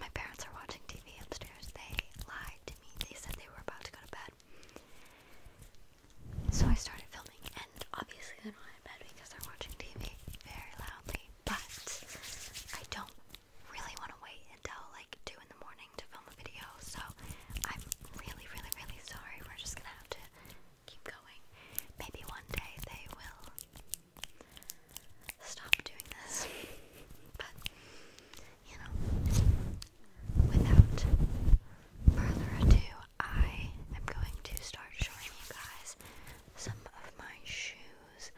my parents are watching TV upstairs. They lied to me. They said they were about to go to bed. So I started filming, and obviously they're not in bed because they're watching TV very loudly. But I don't really want to wait until like 2 in the morning to film a video, so I'm really, really, really sorry. We're just gonna have to keep going. Maybe one day they will stop doing this. But, you know, without further ado, I am going to start showing you guys some of my shoes.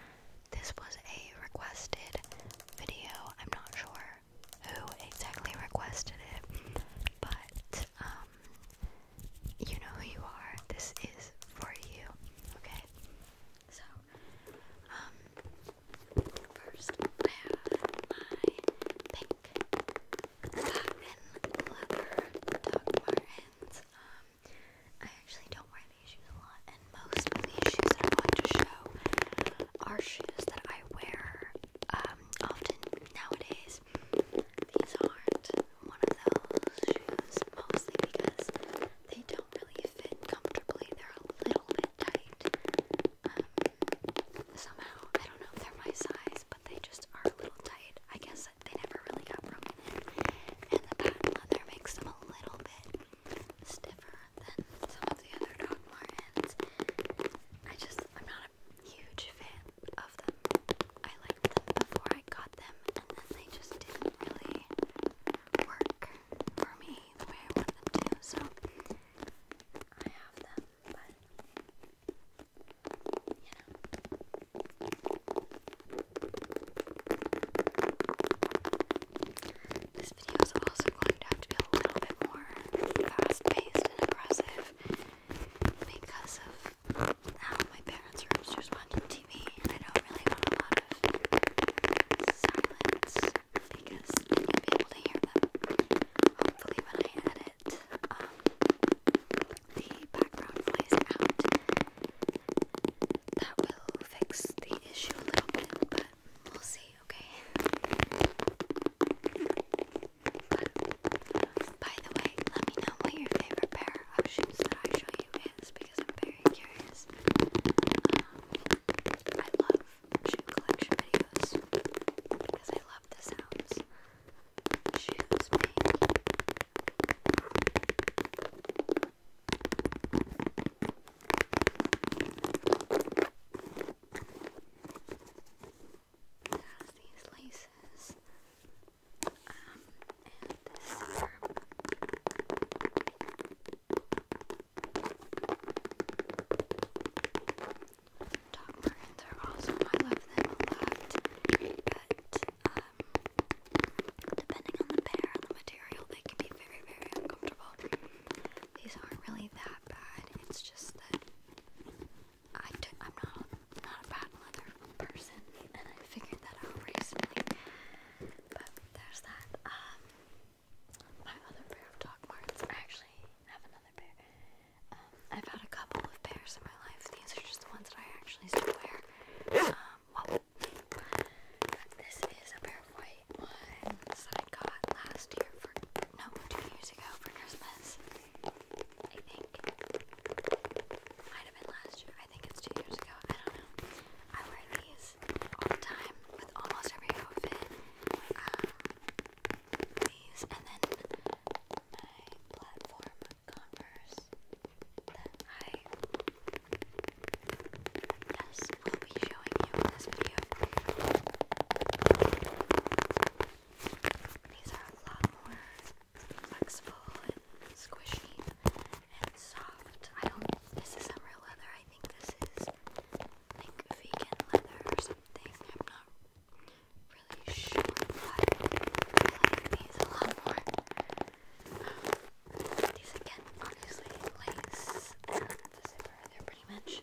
This was a requested video. I'm not sure who exactly requested it, but, um, you know who you are. This is for you, okay? So, um, First, I have my pink cotton leather Doc Martens. Um, I actually don't wear these shoes a lot, and most of these shoes that I'm going to show are shoes that I wear um, often nowadays. These aren't one of those shoes, mostly because they don't really fit comfortably. They're a little bit tight. Um, somehow, I don't know if they're my size, but they just are a little tight. I guess they never really got broken in. And the patent there makes them a little bit stiffer than some of the other dog Martens. I just, I'm not a huge fan of them. I liked them before I got them, and then they just didn't really work for me. I This video is also going to have to be a little bit more fast paced and aggressive because of how my parents' rooms just watching TV and I don't really want a lot of because you'll be able to hear them. Hopefully, when I edit, um, the background flies out. That will fix the issue a little bit, but we'll see, okay? But, by the way, let me know what your favorite pair of shoes that I show you is because I'm very curious. Um, I love shoe collection videos because I love the sounds It has these laces. Um, and silver. Dog burns are awesome. I love them a lot. But um, depending on the pair and the material, they can be very, very uncomfortable. These aren't really that bad. It's just that I am not not a bad leather person, and I figured that out recently. But there's that. Um, my other pair of Doc Martens. I actually have another pair. Um, I've had a couple of pairs in my life. These are just the ones that I actually still wear. Um, this is a pair of white ones that I got last year no, two years ago for Christmas. I think. Might have been last year. I think it's two years ago. I don't know. I wear these all the time with almost every outfit. Um, these and then my platform Converse that I yes will be showing you in this video. These are a lot more flexible and squishy and soft. I don't. This isn't real leather. I think this is like vegan leather or something. I'm not really sure, but I like these a lot more. these again, obviously, lace and the zipper. They're pretty much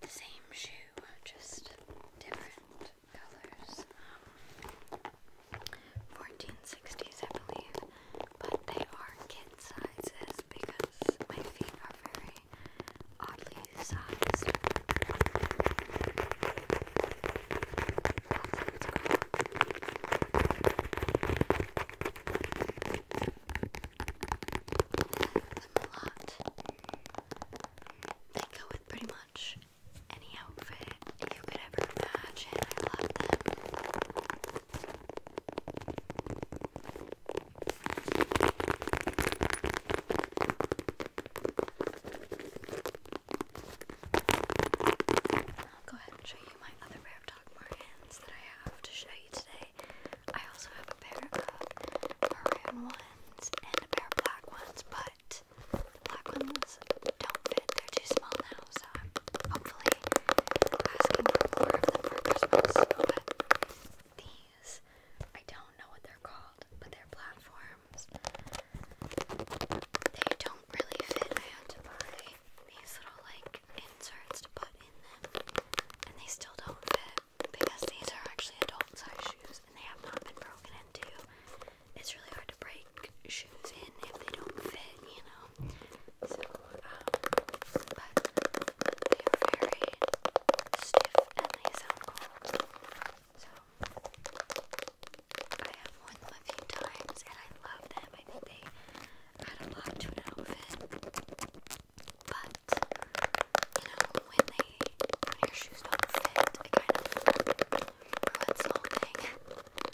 the same shoe, just different colors. Um, 1460s, I believe, but they are kid sizes because my feet are very oddly sized. That's a lot. They go with pretty much any outfit you could ever imagine. I love them. I'll go ahead and show you my other pair of Doc Martens that I have to show you today. I also have a pair of maroon ones and a pair of black ones, but the black ones don't fit, they're too small now so I'm hopefully asking for more of them for Christmas. But these, I don't know what they're called, but they're platforms. They don't really fit. I had to buy these little like inserts to put in them, and they still don't fit. Because these are actually adult size shoes and they have not been broken into. It's really hard to break shoes if they don't fit, you know. So, um, but they are very stiff and they sound cool. So, I have worn them a few times and I love them. I think they add a lot to an outfit. But, you know, when they, when your shoes don't fit, it kind of ruins the whole thing.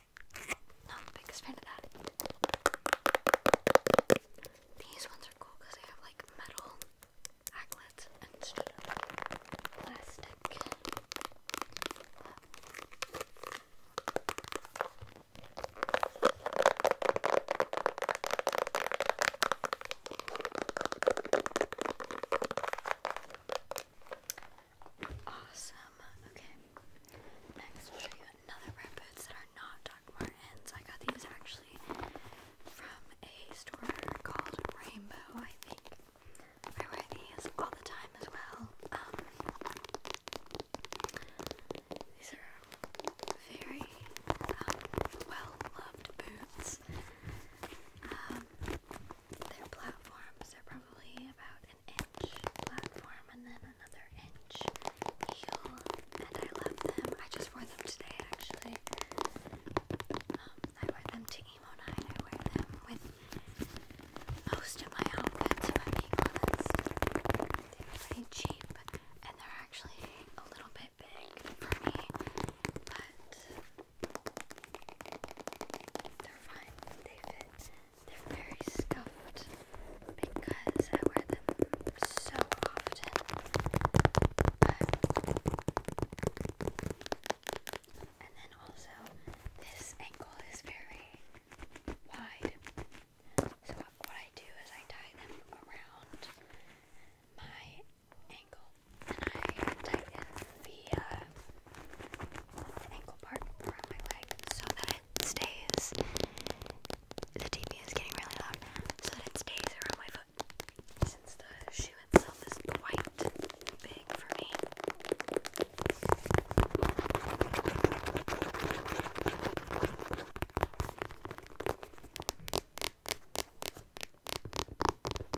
Not the biggest fan of that. These ones are cool because they have like metal Aglets instead of plastic. Awesome. Okay. Next, I'll show you another pair of boots that are not Doc Martens. I got these actually from a store called Rainbow, I think. I wear these all the time as well. Um, these are very um, well loved boots. Um, their platforms are probably about an inch platform and then another inch heel, and I love them. I just wore them today actually. Um, I wear them to emo night. I wear them with most of my outfits, They were pretty cheap, and they're actually a little bit big for me, but they're fine. They fit. They're very scuffed because I wear them so often. and then also, this ankle is very wide. So, what I do is I tie them around my ankle and I tighten the ankle part around my leg so that it stays. The TV is getting really loud, so that it stays around my foot. Since the shoe itself is quite big for me.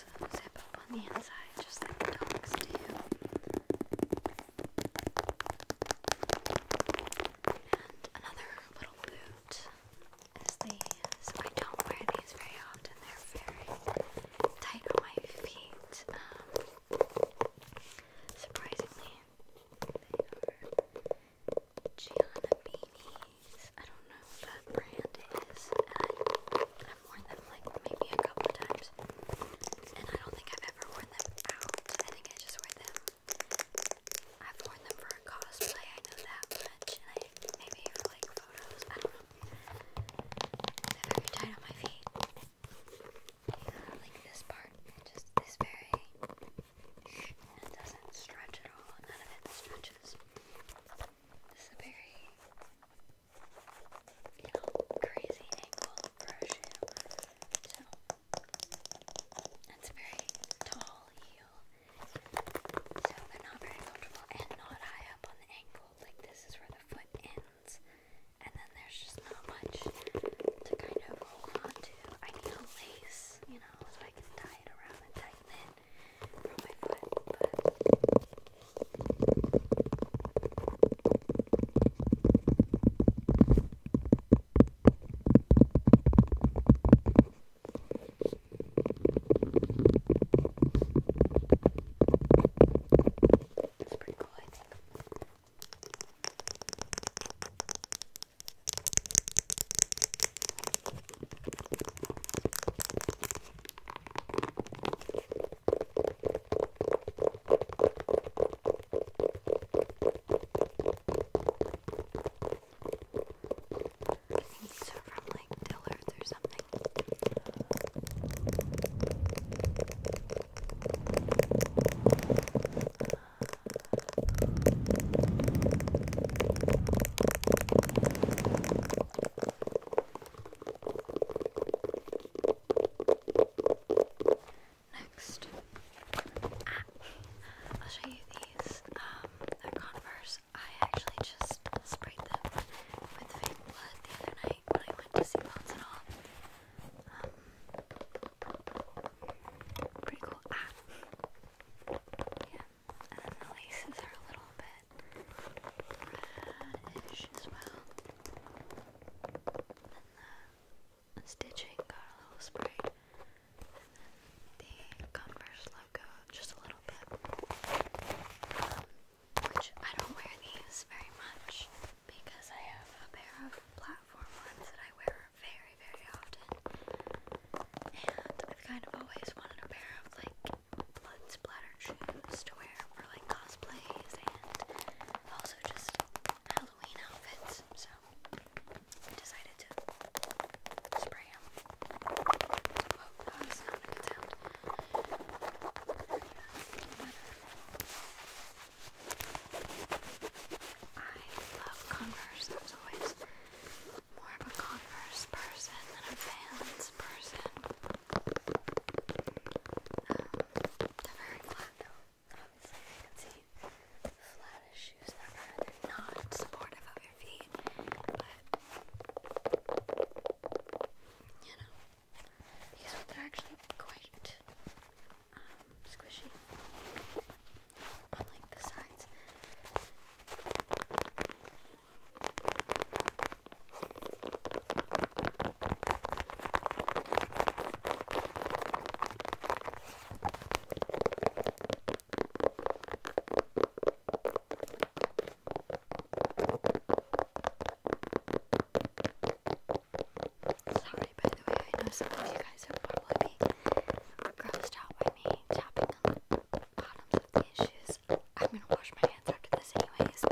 zip up on the inside just like the dogs do. And another little boot is these. I don't wear these very often. They're very tight on my feet. Um, surprisingly, they are Gianna Beanie I don't know what brand it is. I, have worn them like maybe a couple times. And I don't think I've ever worn them out. I think I just wear them. I've worn them for a cosplay, I know that much. And maybe for like photos. I don't know. They're very tight on my feet. like this part. Just this very it doesn't stretch at all. None of it stretches. This is a very, you know, crazy angle for So, it's very tall heel. So, they're not very comfortable and not high up on the ankle. Like, this is where the foot ends. And then there's just not much to kind of hold on to. I need a lace, you know, so I can tie it around and tighten it from my foot, but it's pretty cool, I think. I think these are from like Dillard's or something. Next, ah, I'll show you these. Um, they're Converse. I actually just sprayed them with fake blood the other night when I went to see Bones um, pretty cool. Ah. Yeah and the laces are a little bit reddish as well. And the stitching got a little spray, the Converse logo just a little bit. Um, which I don't wear these very much because I have a pair of platform ones that I wear very, very often. And I've kind of always wanted a pair of like blood splatter shoes to wear for like cosplays and also just Halloween outfits. So I decided to spray them. Whoa, that was not a good sound. I love Converse, as always more of a Converse person than a Vans person. Um, they're very flat though. Obviously, you can shoes ever. They're not supportive of your feet, but you know, these ones are actually quite um, squishy on the sides. Sorry, by the way, I know some of you guys are probably grossed out by me tapping on the bottoms of the issues. I'm gonna wash my hands after this anyways,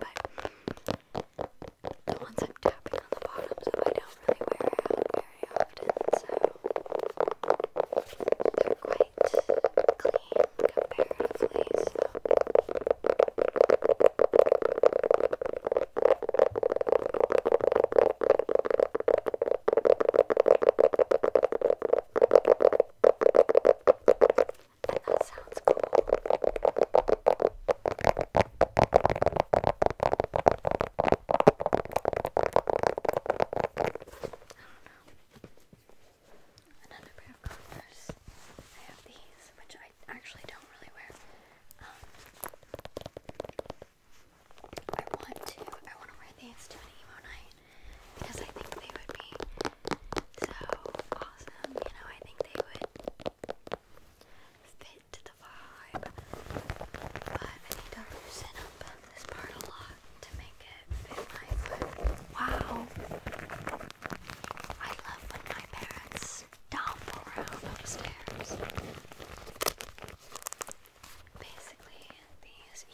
but the ones I'm tapping on the bottoms of I don't really wear out very often, so they're quite clean comparatively, so and that sounds cool. Another pair of Converse. I have these, which I actually don't really wear. Um, I want to. I want to wear these to an emo night because I think they would be so awesome. You know, I think they would fit the vibe, but I need to loosen up this part a lot to make it fit my foot. Wow! I love when my parents dump around upstairs. Basically, these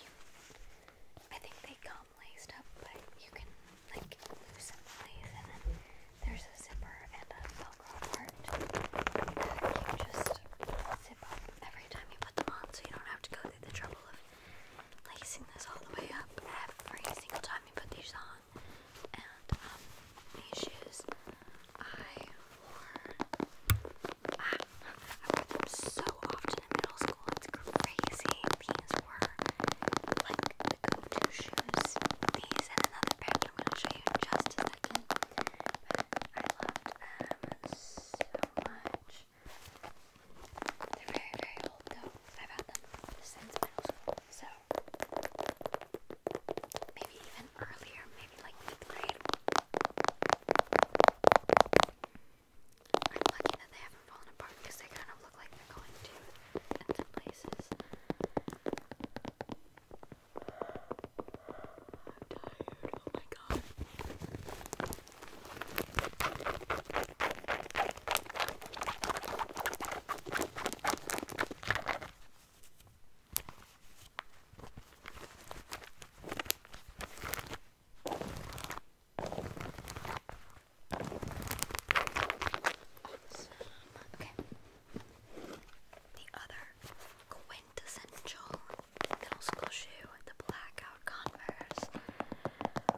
I think they come laced up, but you can like loosen the lace, and then there's a zipper and a velcro part that you just zip up every time you put them on, so you don't have to go through the trouble of lacing this all the way up every single time you put these on. And um, these shoes I wore. Ah, so often in middle school. It's crazy. These were like the go-to shoes. These and another pair I'm gonna show you just a I loved them so much. They're very, very old though. I've had them since middle school, so maybe even earlier, maybe like fifth grade. I'm lucky that they haven't fallen apart because they kind of look like they're going to in some places. I'm tired. Oh my god. I Awesome. Okay. The other quintessential middle school shoe, the blackout Converse.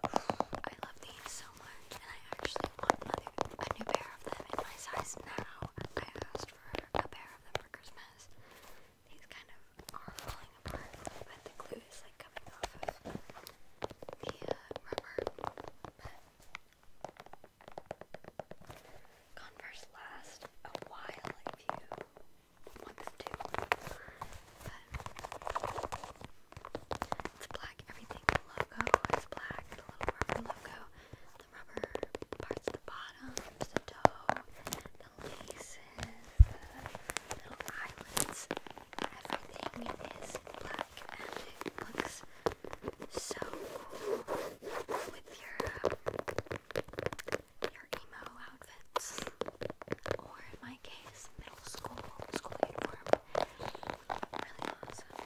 I love these so much, and I actually want another, a new pair of them in my size now. I asked for a pair of them for Christmas these kind of are falling apart, but the glue is like coming off of the uh, rubber. But Converse last a while if you want them to. it's black. Everything the logo is black. The little rubber logo. The rubber parts the bottom, the toe, the laces, little eyelets, everything is black and looks so cool with your, your emo outfits. Or in my case, middle school, school uniform. Really awesome.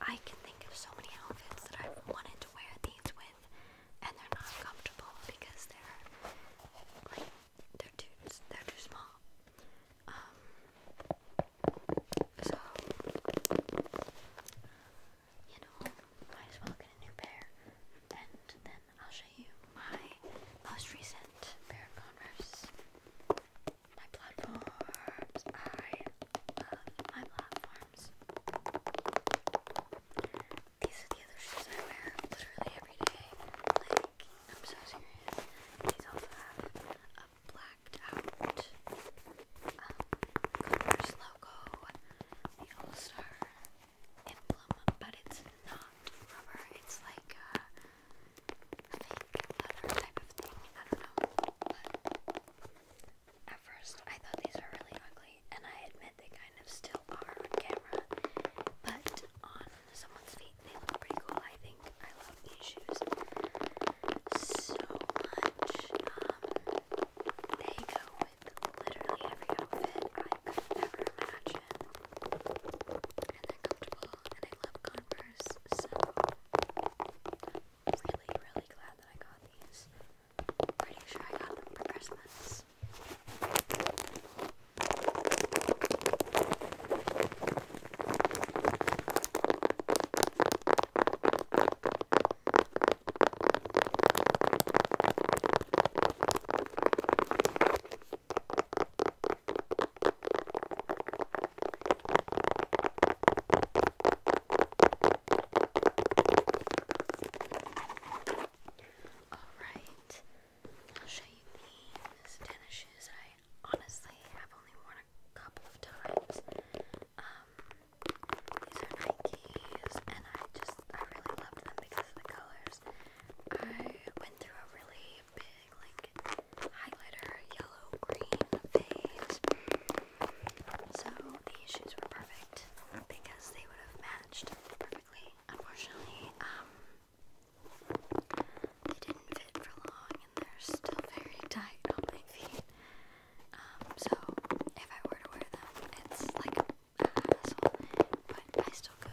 I can think of so many outfits that I've wanted to wear these with, and they're not comfortable because they're like they're too they're too small. Um. So you know, might as well get a new pair, and then I'll show you my most recent pair of Converse. My platforms. I love my platform. These are the other shoes I wear literally every day. Like, I'm so serious. These also have a blacked out um, Converse logo, the All Star emblem, but it's not rubber, it's like a fake leather type of thing. I don't know. At first, I thought these were really ugly, and I admit they kind of still are on camera, but on someone's feet, they look pretty cool. I think I love these shoes so much. Um, they go with literally every outfit I could ever imagine, and they're comfortable, and I love Converse, so really, really glad that I got these. Pretty sure I got them for Christmas. Alright, I'll show you these tennis shoes I honestly have only worn a couple of times. Um, these are Nikes, and I just, I really loved them because of the colors. I went through a really big, like, highlighter yellow yellow So these shoes were perfect because they would have matched perfectly. Unfortunately, um, they didn't fit for long and they're still very tight on my feet. Um, so if I were to wear them, it's like a hassle, but I still could.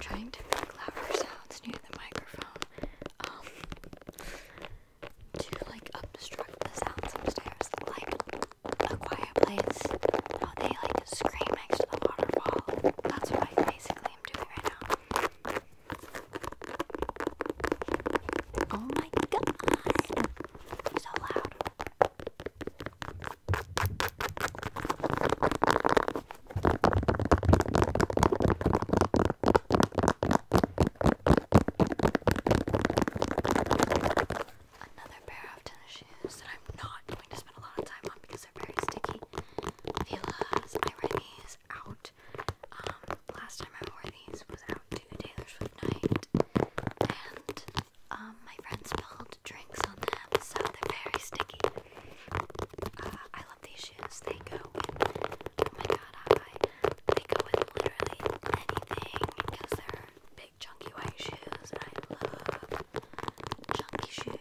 trying to make sounds near the microphone um, to like obstruct the sound upstairs, like a quiet place. How they like scream next to the waterfall. That's what I basically am doing right now. Oh my god! So loud. Another pair of tennis shoes that I'm not going to spend a lot of time on because they're very sticky. Fila's, I read these out. Um, last time I wore these was to Taylor Swift night, and um, my friends spilled drinks on them, so they're very sticky. Uh, I love these shoes. They go with oh my god, I they go with literally anything because they're big, chunky white shoes, and I love chunky shoes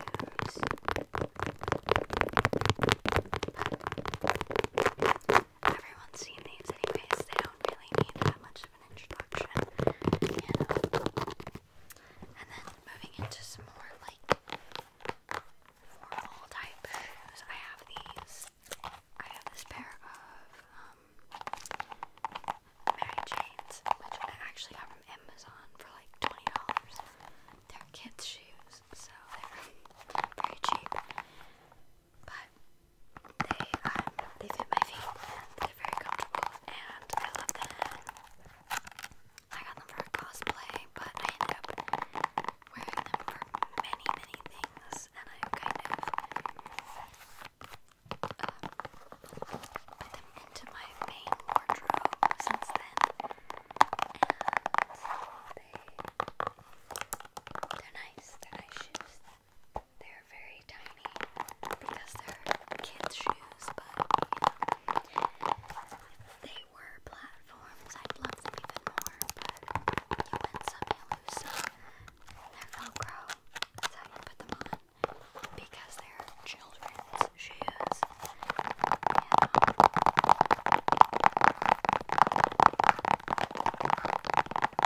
everyone's seen these anyways, they don't really need that much of an introduction, And then moving into some more like formal type shoes, I have these. I have this pair of um, Mary Jane's, which I actually got from Amazon for like twenty dollars. They're kids' shoes, so they're very cheap but they um, they fit my feet they're very comfortable and I love them. I got them for cosplay, but I ended up wearing them for many many things, and I kind of um, put them into my main wardrobe since then, and they. They're nice, they're nice shoes. They're very tiny because they're kids' shoes, but they were platforms. i love them even more, but you win some, They're Velcro. That's how you put them on because they're children's shoes. Yeah.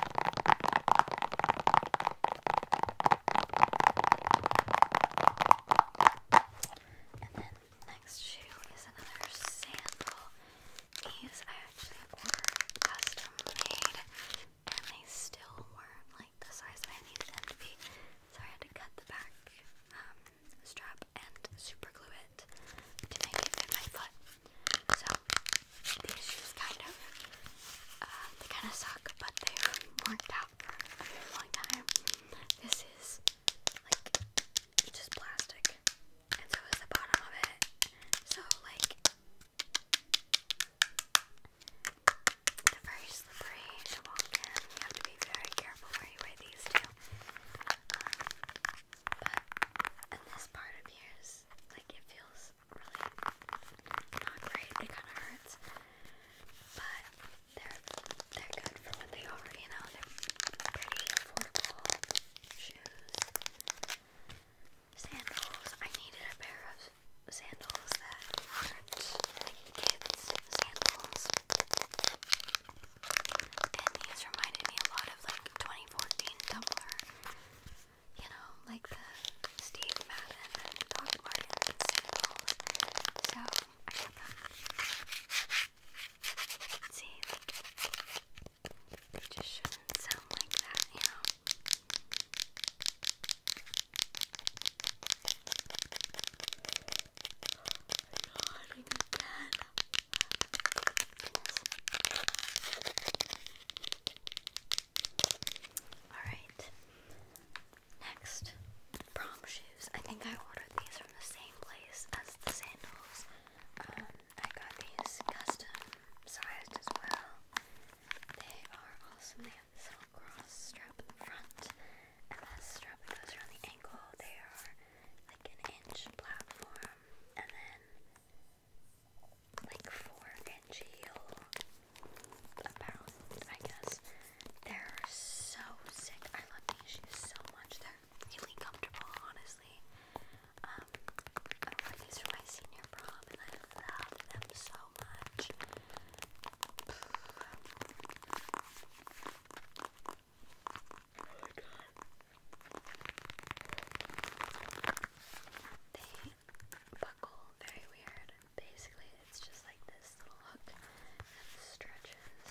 And then next shoe is another sandal. These I actually ordered custom made and they still weren't like the size that I needed them to be. So I had to cut the back um, strap and super glue it to make it fit my foot. So these shoes kind of, um, they kind of suck, but they worked out for a long time. This is like just plastic, and so is the bottom of it. So like they very slippery to walk in. You have to be very careful where you wear these too. Um, but and this part appears like it feels really not great. It kind of hurts, but they're they're good for what they are. You know, they're pretty affordable shoes. Sandals. I needed a pair of sandals that aren't like kids' sandals. And these reminded me a lot of like 2014 Tumblr you know, like the Steve Madden and Doc Martens and sandals. So I got them. See, like, it just shouldn't sound like that, you know. Alright. Next, prom shoes. I think I ordered these from the same place as the sandals. Um, I got these custom sized as well. They are awesome. They have this little cross strap in the front and this strap goes around the ankle. They are like an inch platform and then like four inch about, I guess. They're so sick. I love these shoes so much. They're really comfortable, honestly. Um, I wore these for my senior prom and I love them so much. Oh my god. They buckle very weird. Basically, it's just like this little hook that stretches,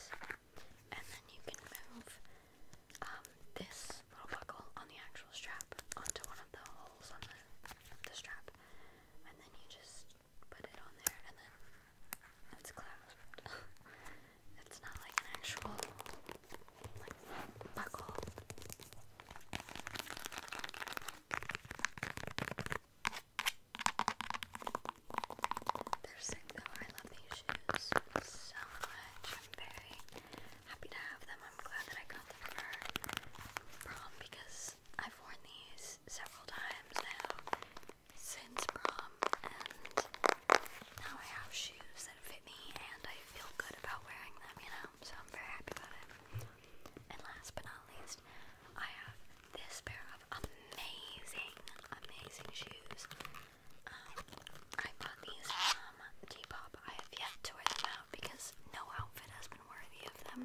and then you can move um, this little buckle on the actual strap onto one of the holes on the, the strap, and then you just put it on there, and then it's clasped. it's not like an actual buckle. They're sick though. I love these shoes so much. I'm very happy to have them. I'm glad that I got them for prom because I've worn these several times now since prom, and now I have shoes that fit me and I I feel good about wearing them, you know, so I'm very happy about it. And last but not least, I have this pair of amazing, amazing shoes. Um, I bought these from K-pop. I have yet to wear them out because no outfit has been worthy of them.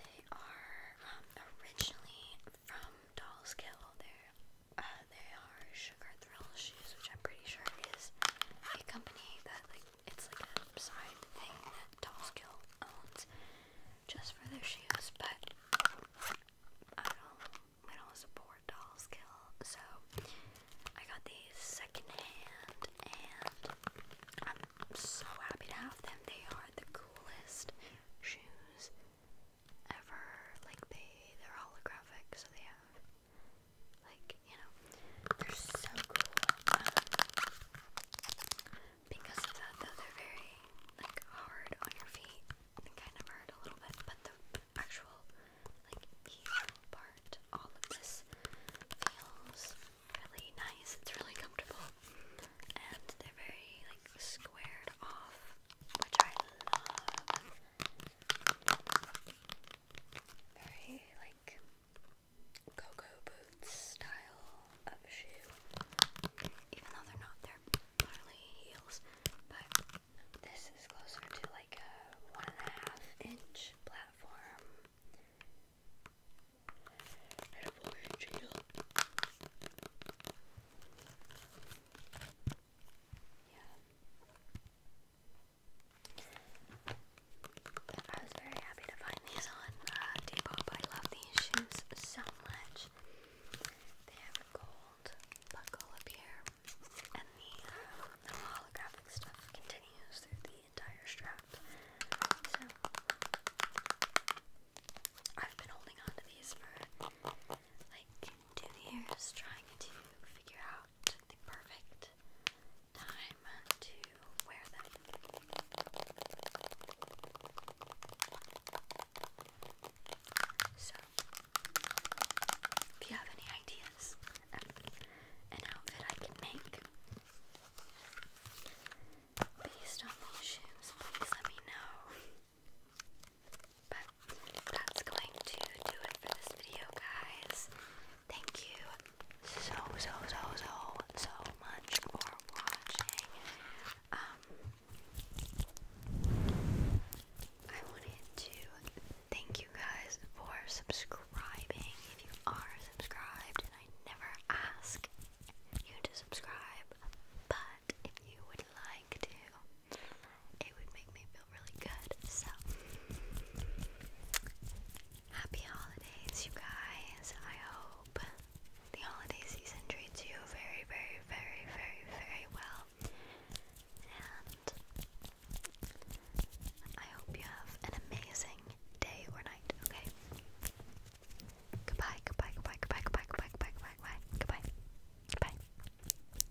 They are um, originally from Dollskill. They're uh, they are Sugar Thrill Shoes, which I'm pretty sure is a company that, like, it's like a side thing that Tallskill owns just for their shoes, but I don't, we don't support Tallskill, so I got these secondhand, and I'm so happy to have them. They are the coolest shoes ever. Like they, they're holographic, so they have like, you know, they're so cool. Um, because of that, though, they're very, like, hard on your feet. They kind of hurt a little bit, but the actual, like, heel part, all of this feels really nice. It's really comfortable. And they're very, like, squared off, which I love very like cocoa boots style of shoe. Even though they're not, they're literally heels. But this is closer to like a one and a half inch platform. And a four inch heel. Yeah. I was very happy to find these on uh, Depop. I love these shoes so much. They have a gold buckle up here, and the, uh, holographic stuff continues through the entire strap. So I've been holding on these for like two years trying to figure out the perfect time to wear them. So, if you have any ideas an outfit I can make based on these shoes, please let me know. But that's going to do it for this video, guys. Thank you so, so, so, so, so much for watching. Um, I wanted to thank you guys for subscribing. If you are subscribed, and I never ask you to subscribe, but if you would like to, it would make me feel really good. So, happy holidays, you guys. I hope the holiday season treats you very, very, very, very, very well. And I hope you have an amazing day or night, okay? Goodbye, goodbye, goodbye, goodbye, goodbye, goodbye, goodbye, goodbye,